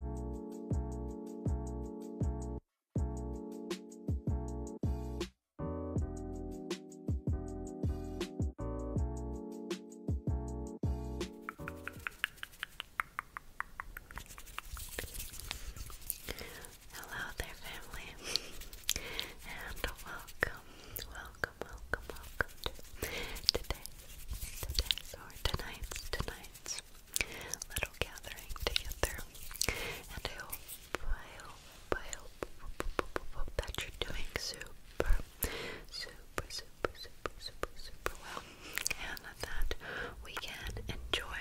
Hello there, family, and welcome, welcome, welcome, welcome to today's, today's, or tonight's, tonight's little gathering together. And I hope, I hope, I hope, that you're doing super, super, super, super, super, super well. And that we can enjoy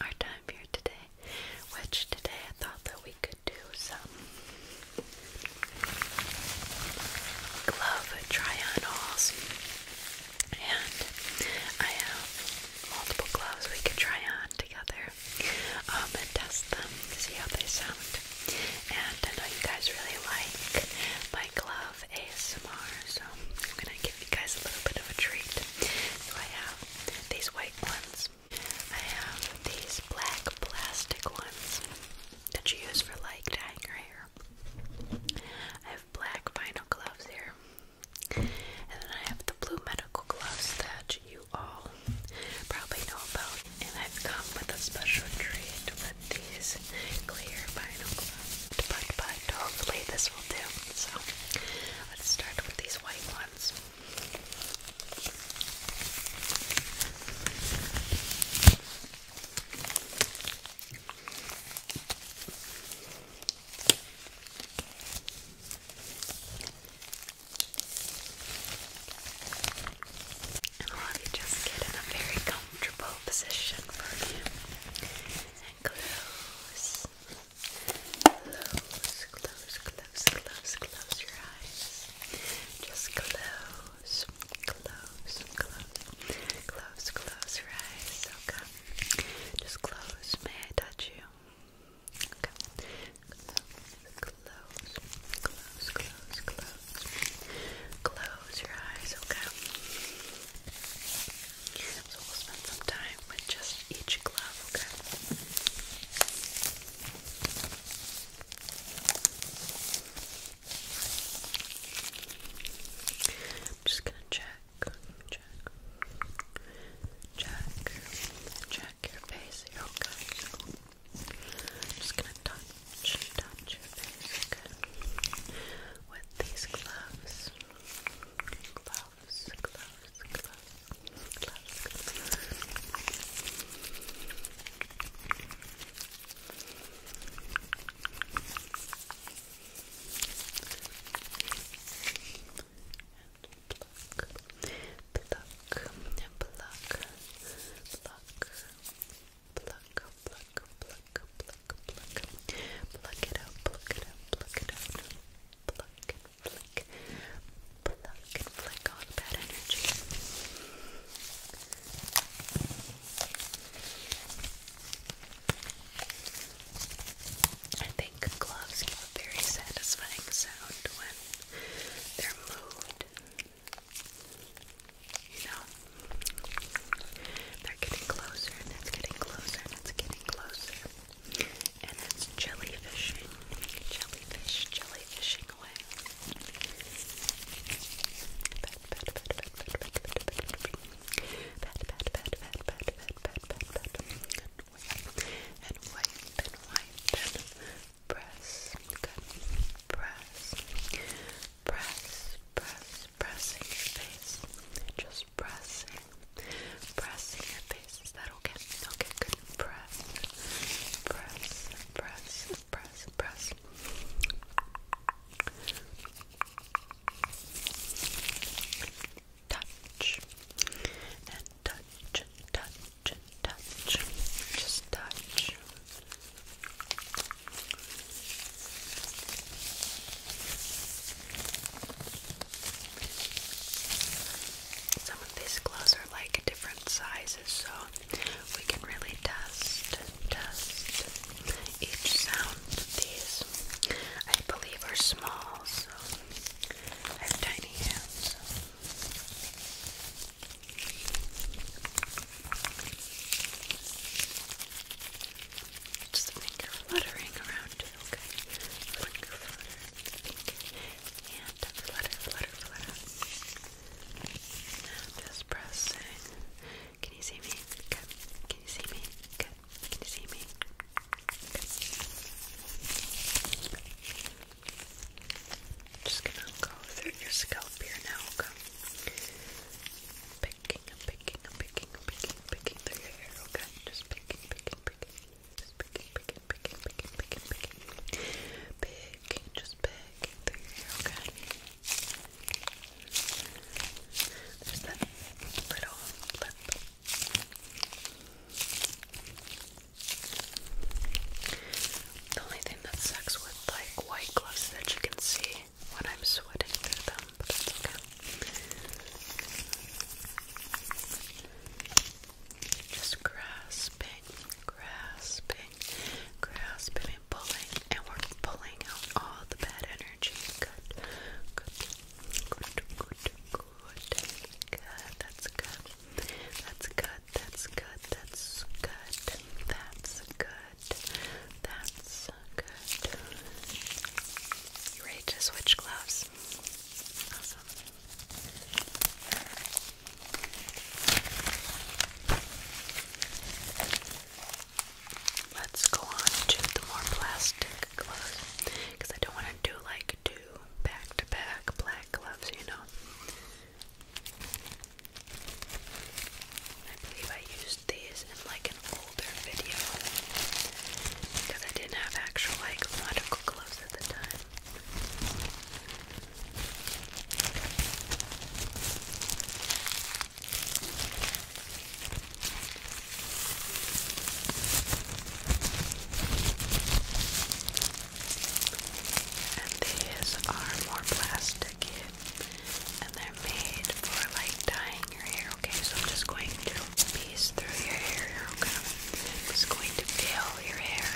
our time here today, which today I thought that we could do some glove try-on and I have multiple gloves we can try on together um, and test them to see how they sound. And I know you guys really like my glove ASMR, so I'm gonna give you guys a little bit of a treat. I have these white ones. I have these black plastic ones that you use for like dyeing your hair black vinyl gloves here. And then I have the blue medical gloves that you all probably know about. And I've come with a special treat with these clear vinyl gloves. But, but hopefully this will do. So let's start with these white ones. And will have you just get in a very comfortable position for you. And close, close, close, close, close, close your eyes. Just close, close, close, close, close your eyes. So come just close. May I touch you? Okay. Close, close, close, close. Close your eyes, okay? So we'll spend some time with just each glove, okay? just gonna check check, check, check your face. you okay. I'm just gonna touch, touch your face with these gloves. Gloves, gloves, gloves, gloves, gloves pluck, pluck, pluck, pluck, pluck, pluck, pluck, pluck, pluck, pluck it out, pluck it out, pluck it out, pluck and flick, pluck and flick all bad energy. I think gloves give a very satisfying sound when they're moved. You know, they're getting closer, and it's getting closer, and it's getting closer. And it's jellyfishing, jellyfish, jellyfishing away. Pet, pet, pet, pet, and wipe, and wipe, and wipe, and press, press, press, press, pressing your face, just pressing, pressing your face, is that okay? Okay, good, press, press, press, press, press, touch and touch, touch, touch, just touch. Some of these gloves are like different sizes, so we can really test, test, each sound. These, I believe, are small, so I have tiny hands. Just fluttering around, okay? Finger flutter, finger, flutter, flutter, flutter. just pressing can you see me? Good. Can you see me? Good. Can you see me? Just gonna go through your scalp here now. Okay? Picking, picking, picking, picking, picking through your hair. Okay, just picking, picking, picking, just picking, picking, picking, picking, picking, picking, picking, just picking through your hair. Okay. The only thing that sucks with like white gloves that you can see when I'm sweating them, Just grasping, grasping, grasping, and pulling, and we're pulling out all the bad energy. good, Good, good, good. Good, that's good. That's good, that's good, that's good. That's good. That's good. ready to switch gloves? Awesome. Let's go on to the more plastic gloves because I don't want to do like two back to back black gloves, you know. I believe I used these in like an older video because I didn't have actual like medical gloves at the time. And these are more plasticky and they're made for like dyeing your hair, okay? So I'm just going to piece through your hair, I'm just going to peel your hair.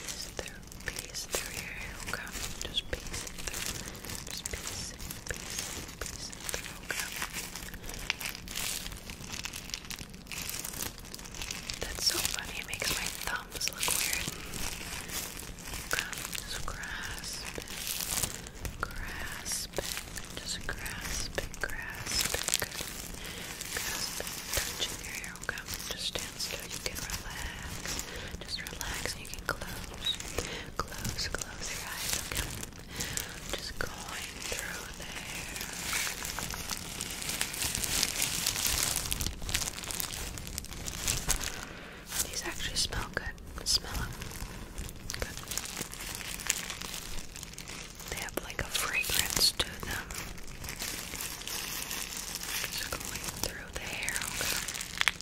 Piece through piece through your hair, okay? Just piece it through. Just piece it, piece it, piece it through, okay? That's so funny, it makes my thumbs look weird. Okay, just grasp it, grasp it, just grasp it, grasp it, good. Grasp it, touching your hair, okay? Just stand still, you can relax. Just relax, you can close, close, close your eyes, okay? just going through there. These actually smell good. Smell them. They have like a fragrance to them. Just going through the hair, okay?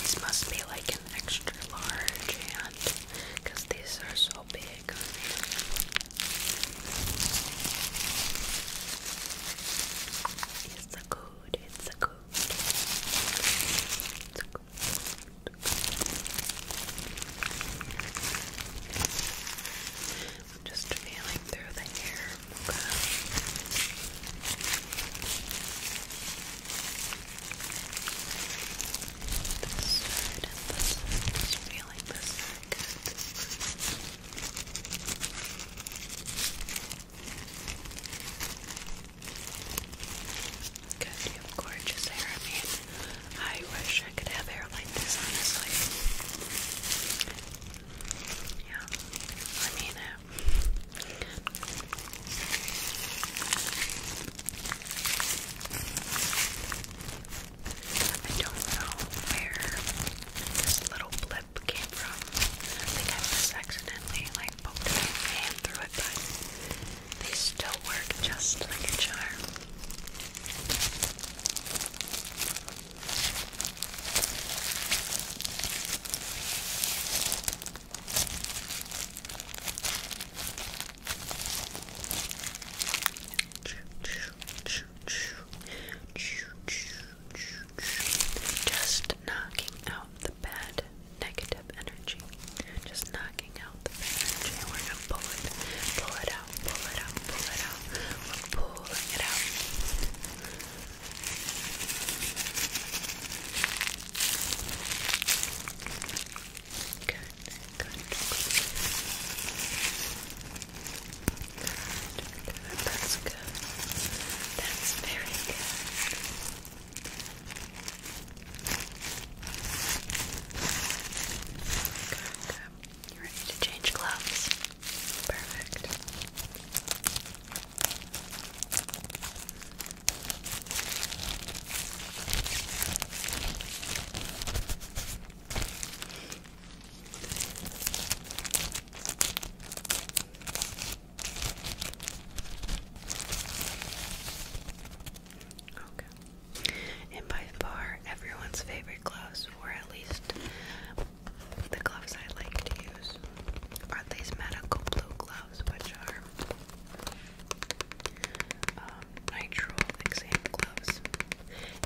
These must be like an extra large hand because these are so big It's a good, it's a good. It's a good. Just feeling through the hair. Okay. This side and this side. Just feeling this side. Good. Good. You gorgeous hair. I I wish I could have hair like this, honestly. Yeah, I mean I don't know where this little blip came from. I think I accidentally like poked my hand through it, they still work just like a charm. Just knocking out the bad negative energy. Just knocking out the bad energy. we're gonna pull it, pull it out pull it out, pull it out. Pull it out. Good, good, that's good. That's very Good, good. You ready to change clothes? Perfect. Okay. And by far everyone's favorite gloves use, or at least the gloves I like to use, are these medical blue gloves, which are um, nitrile exam gloves.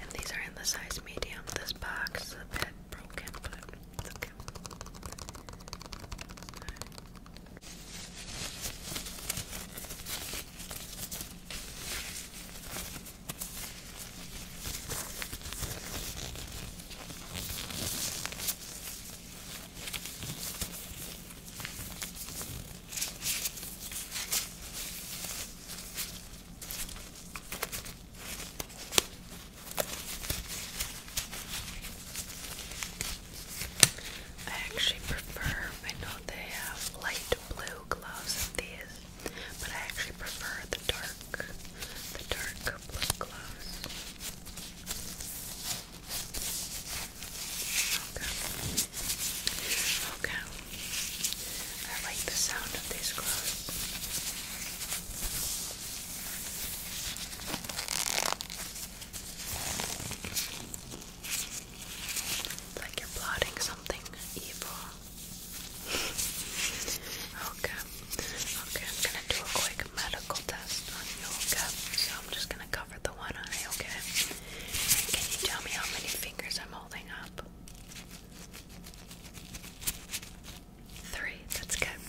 And these are in the size medium. This box a bit broken, but it's okay. I actually prefer, I know they have light blue gloves of these but I actually prefer the dark, the dark blue glows. Okay, okay. I like the sound of these glows. It's like you're plotting something evil. Okay. Okay, I'm gonna do a quick medical test on you, okay? So I'm just gonna cover the one eye, okay? Can you tell me how many fingers I'm holding up? Three, that's good.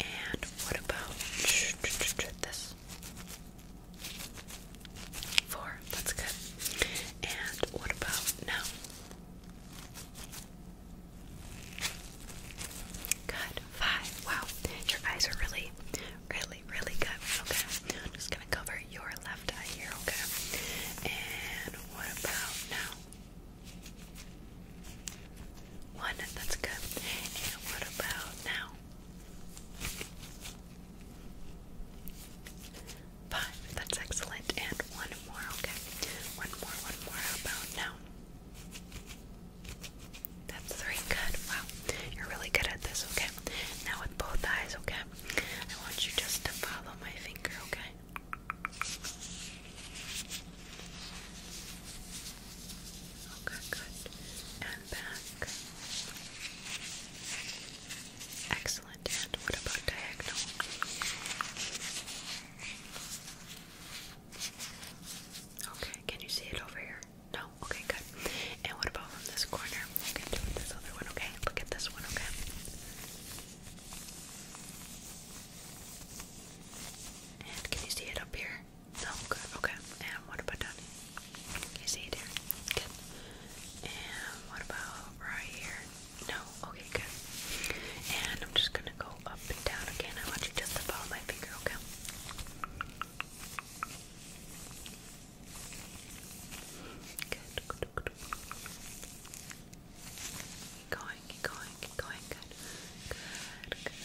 And what about this? Four, that's good. And what about now? Good. Five. Wow. Your eyes are really, really, really good. Okay. I'm just gonna cover your left eye here, okay? And what about now? One, that's good. And what about now? Five. That's excellent. And one more, okay? One more, one more. How now? That's three. Good. Wow. You're really good at this, okay? Now with both eyes, okay? I want you just to follow my finger, okay? Okay, good. And back. Excellent and what about diagonal? Okay, can you see it over here? No? Okay, good. And what about from this corner? You this other one, okay? Look at this one, okay? And can you see it up here? No? Good, okay. And what about down Can you see it here? Good. And what about right here? No? Okay, good. And I'm just gonna go up and down again. I want you just to follow my finger, okay? Good, good, good. going, going, going, good. Good, good.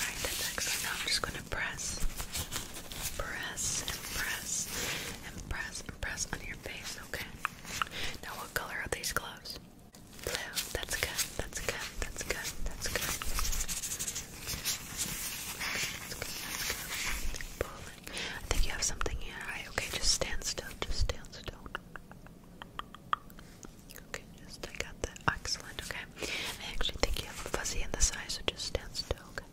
Alright, that's excellent. Now I'm just gonna press, press, and press, and press, and press on your okay? Now, what color are these gloves? Blue. That's good. That's good. That's good. That's good. That's good. That's good. I think you have something in Okay, just stand still. Just stand still. Okay, just I got that. Excellent. Okay. I actually think you have a fuzzy in this eye, so just stand still. Okay.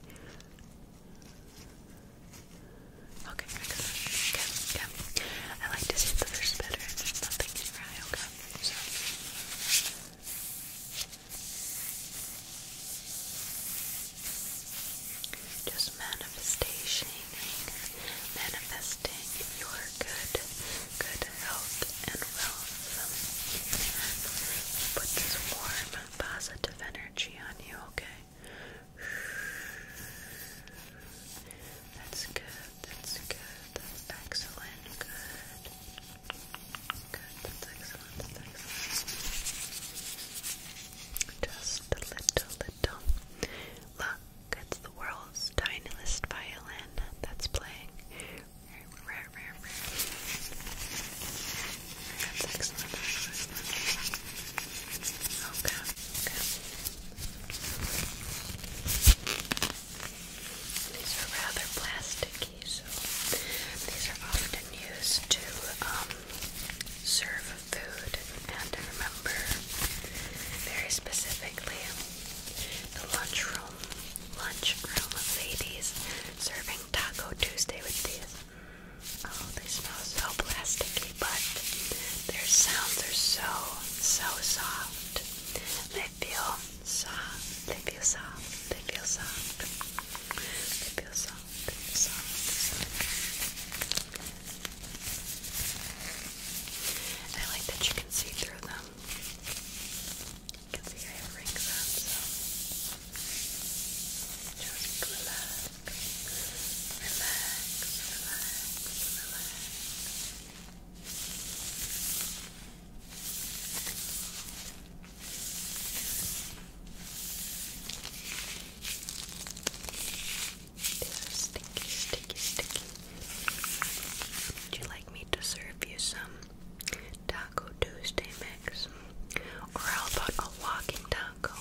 Okay, excellent. Okay, okay. I like to see the first better there's nothing in your eye, okay? So. Just manifestation, manifesting your good, good health and wealth. Put this warm, positive energy on you, okay? That's good, that's good, that's excellent, good. Good, that's excellent, that's excellent. Just a little, little. Look, it's the world's tiniest violin that's playing. rare, rare, rare. These are rather plasticky, so these are often used to serve food, and I remember very specifically the lunchroom, lunchroom ladies serving Taco Tuesday with these. Oh, they smell so plasticky, but their sounds are so, so soft. They feel soft. They feel soft. They feel soft. They feel soft. Soft. soft. I like that you can see through them. You can see I have rings on, so just relax, relax, relax, relax. sticky, sticky, sticky. Would you like me to serve you some Taco Tuesday mix? Or how about a walking taco?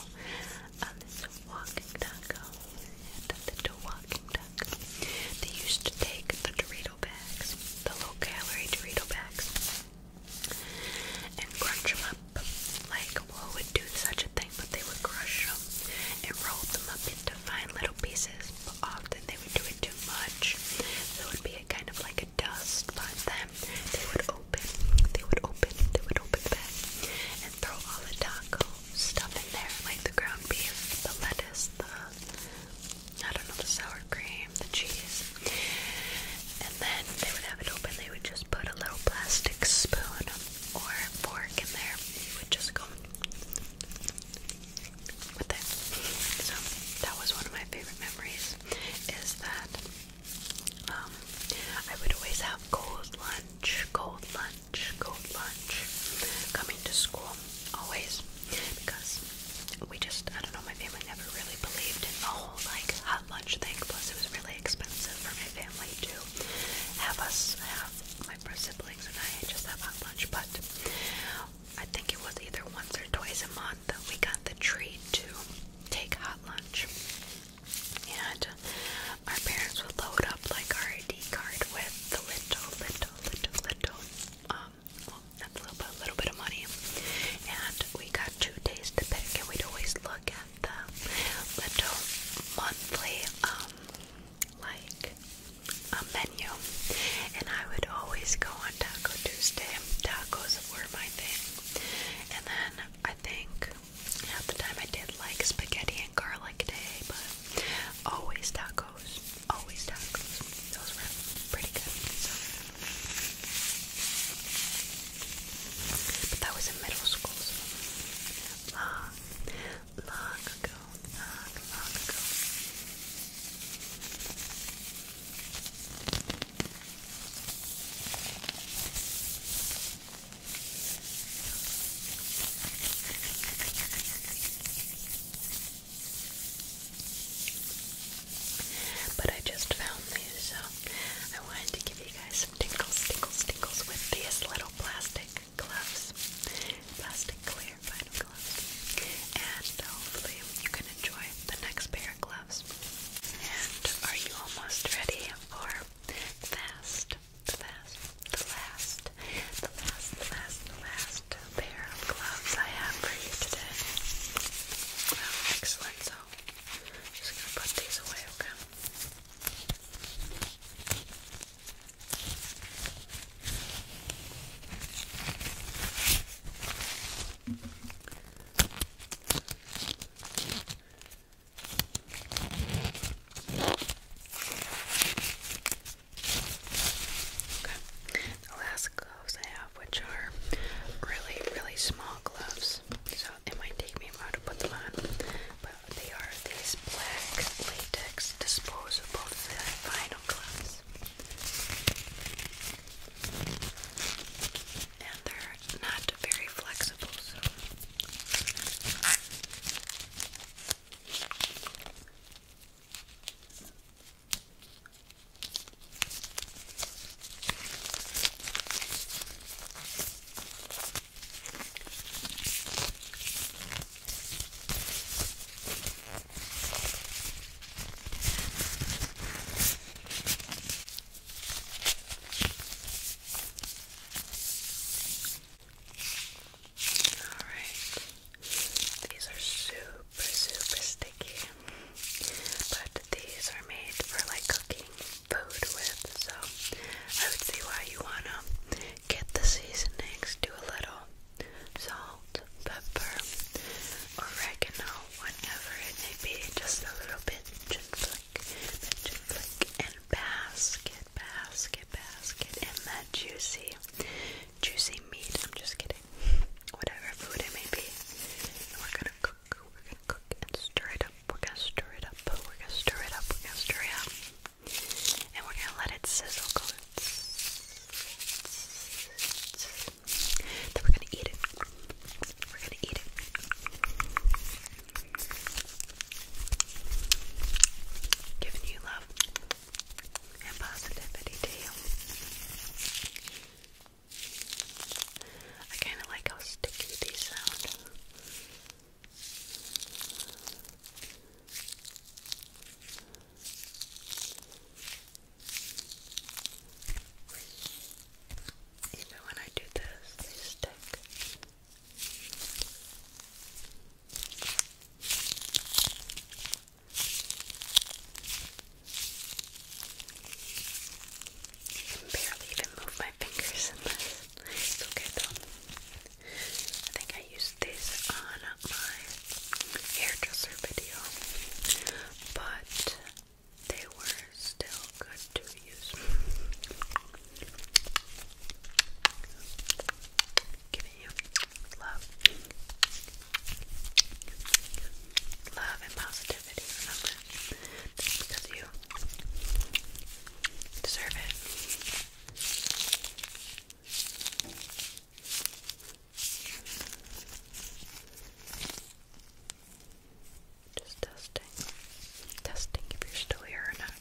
Um, this is a walking taco. They do walking taco. They used to take the Dorito bags, the low-calorie Dorito bags, and crunch them up. Like, who would do such a thing? But they would crush them and roll them up into fine little pieces. But often they would do it too much, so it would be a kind of like a dust. But then they would they would open, they would open the bag and throw all the taco stuff in there, like the ground beef, the lettuce, the I don't know, the sour cream, the cheese. And then they would have it open, they would just put a little plastic spoon or fork in there. You would just go with it. So that was one of my favorite memories is that um, I would always have cold lunch, cold lunch, cold lunch coming to school, always, because we just, I don't know, my family never really believed in the whole like hot lunch thing, plus it was really expensive for my family to have us have my siblings and I just have hot lunch, but I think it was either once or twice a month that we got the treat to take hot lunch. And our parents would load up like our ID card with the little, little, little, little, um, well, that's a little bit, a little bit of money. And we got two days to pick, and we'd always look at the little monthly, um, like a menu. And I would always go on Taco Tuesday. Tacos were my thing. And then I think at the time I did like spaghetti and garlic day, but always tacos. Always tacos. Those were pretty good. But that was in middle school, long, long ago. Long, long ago. But I just found these, so I wanted to give you guys some tinkles, tinkles, tinkles with these little plastic gloves. Plastic clear vinyl gloves. And hopefully you can enjoy the next pair of gloves. And are you almost ready for the fast, the fast, the last, the last, last, last pair of gloves I have for you today. excellent. So, just gonna put these away, Okay, the last gloves I have, which are really, really small gloves, so it might take me a while to put them on, but they are these black latex disposable vinyl gloves and they're not very flexible, so Alright, these are super, super sticky, but these are made for like cooking food with, so I would see why you want to get the seasonings, do a little salt, pepper, oregano, whatever it may be, just a little bit gently and flick, and basket, basket, basket, and that juicy, juicy meat. I'm just kidding. Whatever food it may be, we're gonna cook. We're gonna cook and stir it up. We're gonna stir it up. We're gonna stir it up. We're gonna stir it up, and we're gonna let it sizzle. Then we're gonna eat it. We're gonna eat it. Giving you love and positivity to you. I kind of like how sticky these sound. Even when I do this, they stick. I can barely even move my fingers okay though. I think I used this on my hairdresser video, but they were still good to use. Giving you love. Love and positivity, remember? because you deserve it. Just testing. Testing if you're still here or not.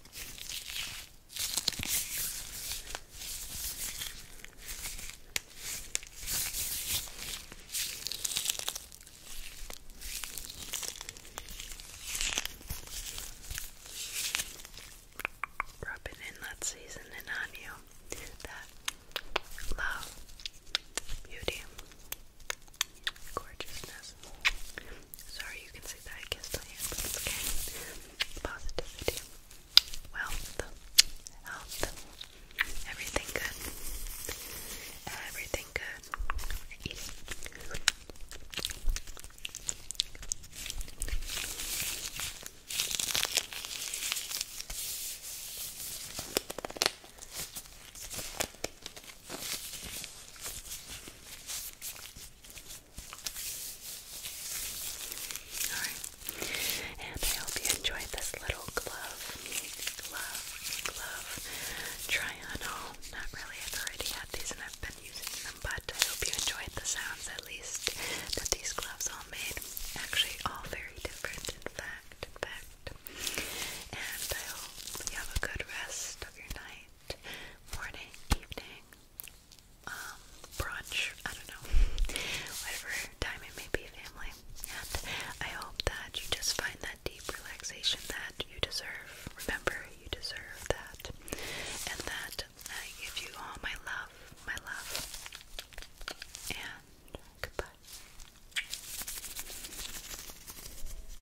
Rub in, let's on you. That love, beauty, Gorgeousness. Sorry you can see that I kissed on you, okay. Positivity. Wealth. Health. Everything good. Everything good. Eat and I hope you enjoyed this little glove. Glove, glove. Try on all. Oh, not really, i already had these and I've been using them, but I hope you enjoyed the sounds at least that these gloves all made. Actually all very different in fact, in fact. And I hope you have a good rest of your night morning, evening, um, brunch, I don't know, whatever time it may be, family. And I hope that you just find that deep relaxation that you deserve. Remember, you deserve that. And that I give you all my love, my love. And goodbye.